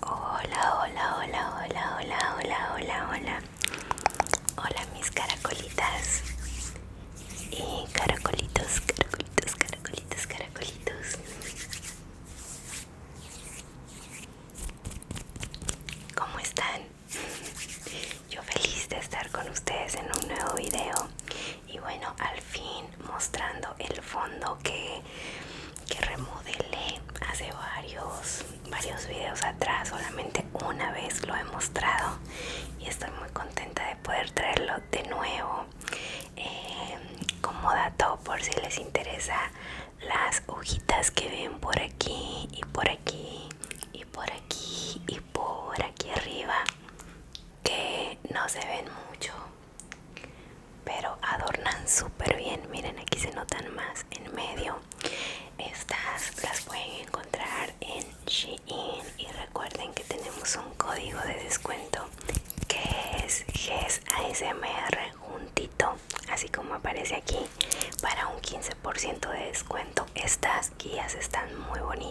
Hola, hola, hola, hola, hola, hola, hola, hola. Hola mis caracolitas y caracolitos, caracolitos, caracolitos, caracolitos. ¿Cómo están? Yo feliz de estar con ustedes en un nuevo video y bueno al fin mostrando el fondo que, remodelé hace varios varios videos atrás solamente una vez lo he mostrado y estoy muy contenta de poder traerlo de nuevo eh, como dato por si les interesa las hojitas que ven por aquí y por aquí y por aquí y por aquí arriba que no se ven mucho pero adornan súper bien miren aquí se notan más en medio estas las pueden encontrar en Shein y recuerden que tenemos un código de descuento que es GESASMR juntito así como aparece aquí para un 15% de descuento estas guías están muy bonitas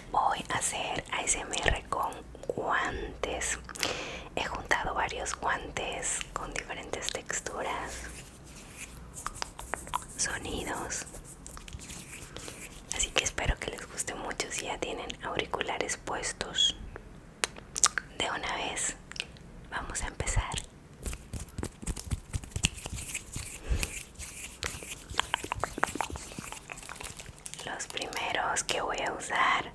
Voy a hacer ASMR con guantes. He juntado varios guantes con diferentes texturas, sonidos. Así que espero que les guste mucho si ya tienen auriculares puestos. De una vez, vamos a empezar. Los primeros que voy a usar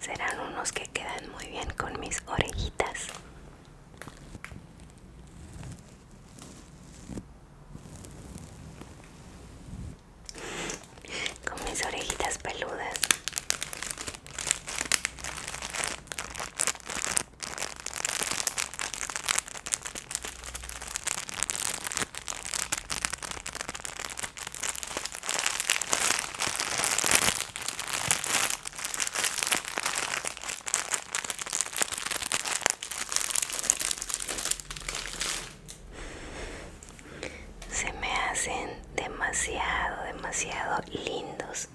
serán unos que quedan muy bien con mis orejitas. Con mis orejitas peludas. Se me hacen demasiado, demasiado lindos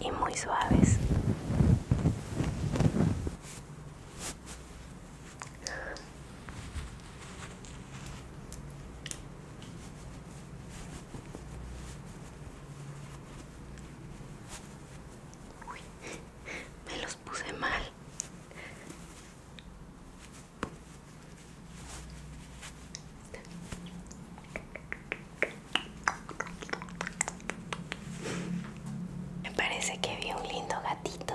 y muy suaves. me los puse mal. Me parece que vi un lindo gatito.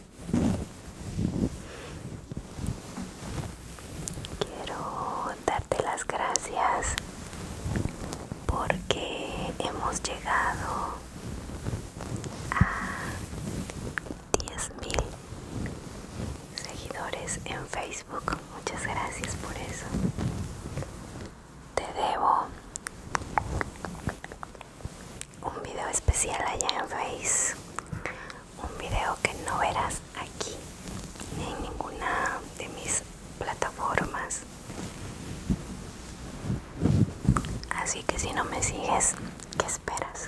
Quiero darte las gracias porque hemos llegado a mil seguidores en Facebook. Muchas gracias por eso. Te debo un video especial allá en Face, un video que no verás aquí en ninguna de mis plataformas. Así que si no me sigues, ¿qué esperas?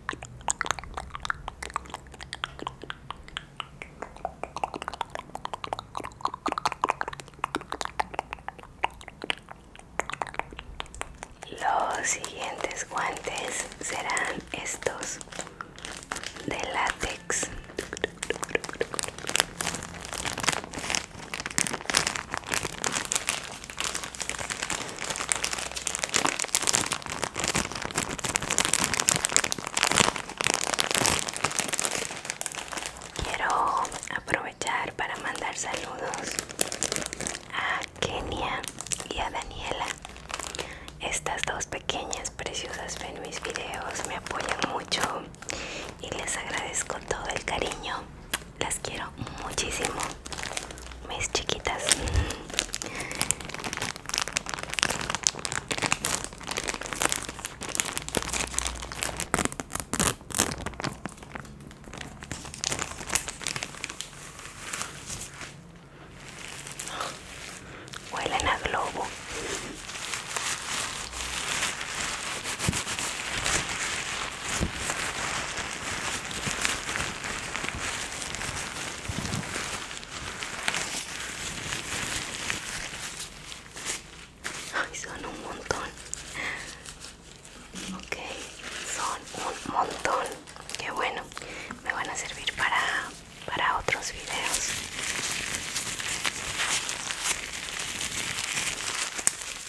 Los siguientes guantes serán estos de látex. Quiero aprovechar para mandar saludos a Kenia y a Daniela. Estas dos pequeñas preciosas ven mis videos, me apoyan mucho y les agradezco todo el cariño las quiero muchísimo, mis chiquitas. Huelen a globo. Ay, son un montón. Ok, son un montón. Que bueno. Me van a servir para, para otros videos.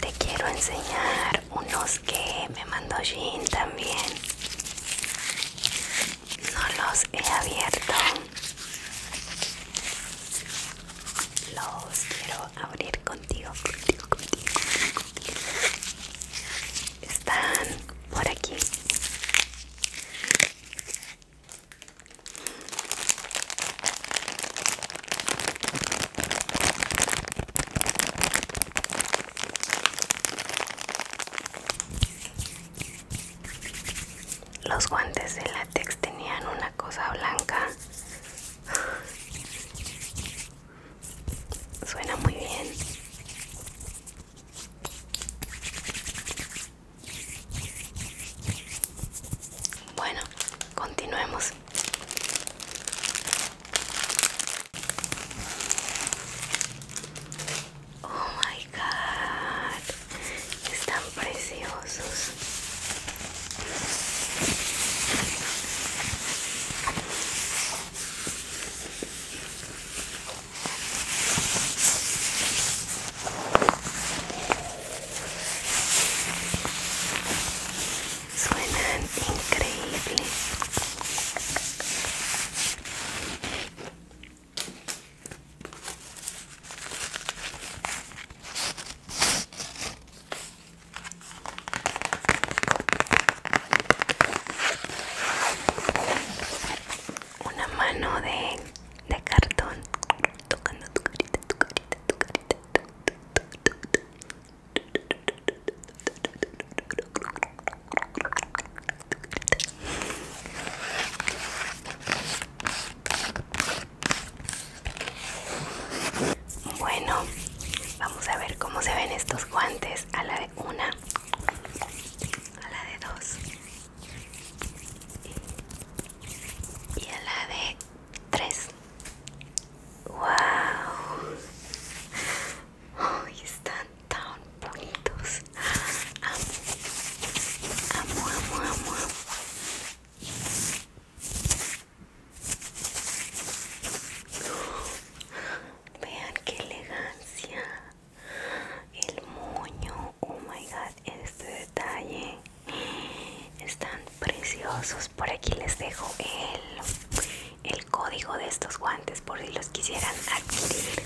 Te quiero enseñar unos que me mandó Jean también. No los he abierto. Los quiero abrir contigo, contigo, contigo, Están por aquí. Los guantes de látex tenían una cosa blanca Suena muy bien. Bueno, continuemos. Oh my god, están preciosos. Suenan increíble. Una mano de, cartón tocando tu carita, tu carita, tu carita. Bueno, vamos a ver cómo se ven estos guantes a la de una, a la de dos y a la de tres. ¡Wow! Ay, están tan bonitos. Amo, amo, amo, amo. Vean qué elegancia. El moño. Oh my god. Este detalle. Están preciosos. Por aquí les dejo el, el código de estos guantes por si los quisieran adquirir.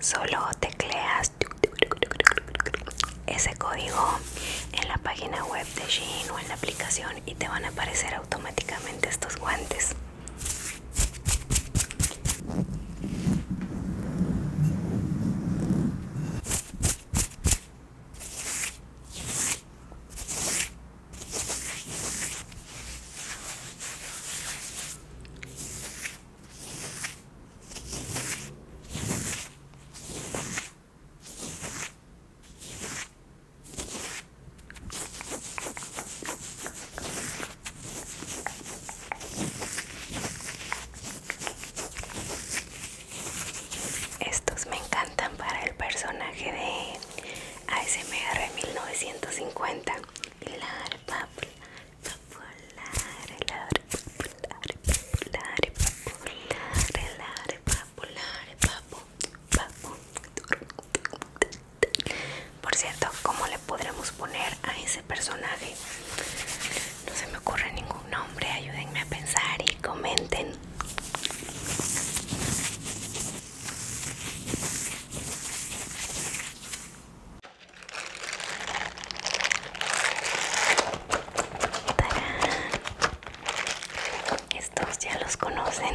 Solo tecleas ese código en la página web de Shein o en la aplicación y te van a aparecer automáticamente estos guantes. Estos me encantan para el personaje de ASMR 1950. la popular, Por cierto, ¿cómo le podremos poner a ese personaje? No se me ocurre ningún nombre, ayúdenme a pensar y comenten. Estos ya los conocen.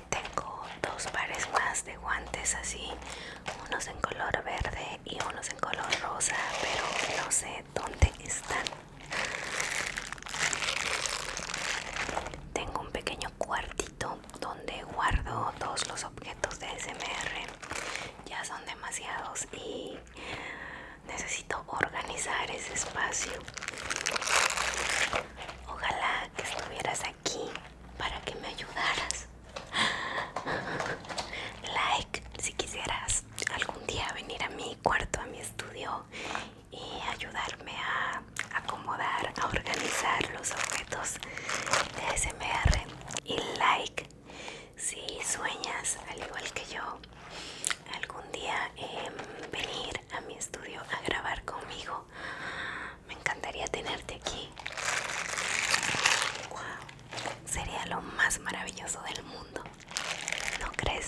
tengo dos pares más de guantes así, unos en color verde y unos en color rosa, pero no sé dónde están. Tengo un pequeño cuartito donde guardo todos los objetos de SMR. Ya son demasiados y necesito organizar ese espacio. Ojalá que estuviera aquí aquí para que me ayudaras. Like si quisieras algún día venir a mi cuarto, a mi estudio y ayudarme a acomodar, a organizar los objetos de SMR. Y like si sueñas, al igual que yo, algún día venir a mi estudio a grabar conmigo me encantaría tenerte aquí. sería lo más maravilloso del mundo. ¿No crees?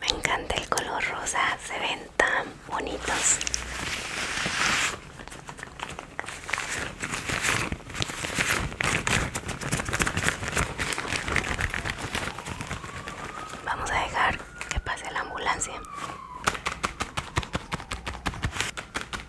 Me encanta el color rosa, se ven tan bonitos. Vamos a dejar que pase la ambulancia.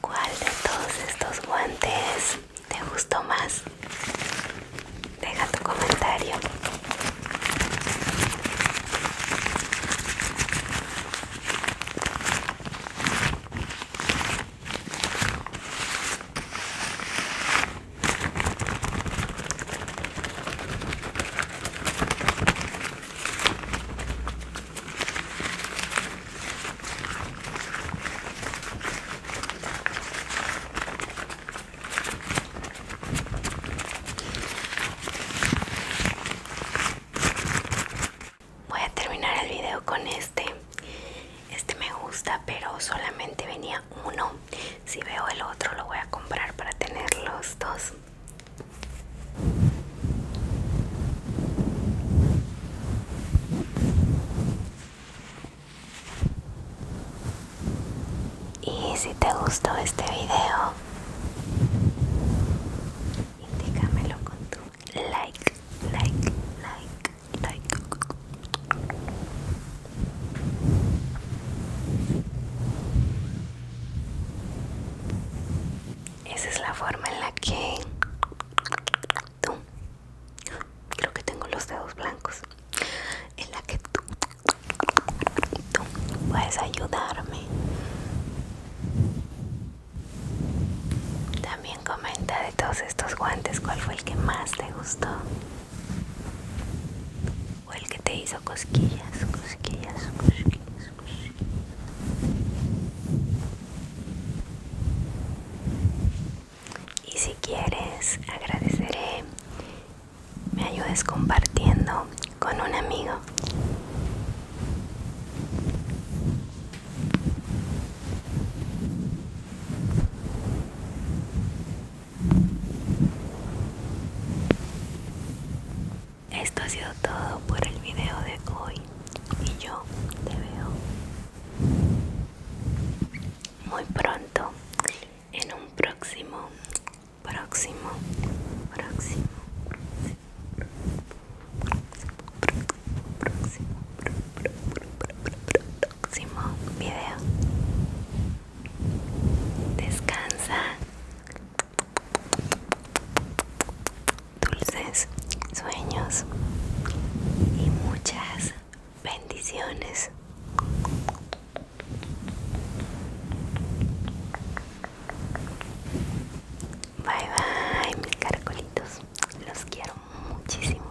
¿Cuál de todos estos guantes ¿Te gustó más? Deja tu comentario. Voy a terminar el video con este. Este me gusta, pero solamente venía uno. Si veo el otro, lo voy a comprar para tener los dos. Y si te gustó este video, indícamelo con tu like, like, like, like. Esa es la forma en la que tú creo que tengo los dedos blancos en la que tú, puedes ayudarme también comenta de todos estos guantes cuál fue el que más te gustó o el que te hizo cosquillas cosquillas cosquillas cosquillas y si quieres agradeceré me ayudes compartiendo con un amigo esto ha sido todo por el video de hoy y yo te veo muy pronto en un próximo próximo próximo próximo próximo próximo próximo video descansa dulces sueños y muchas bendiciones. Bye bye mis caracolitos, los quiero muchísimo.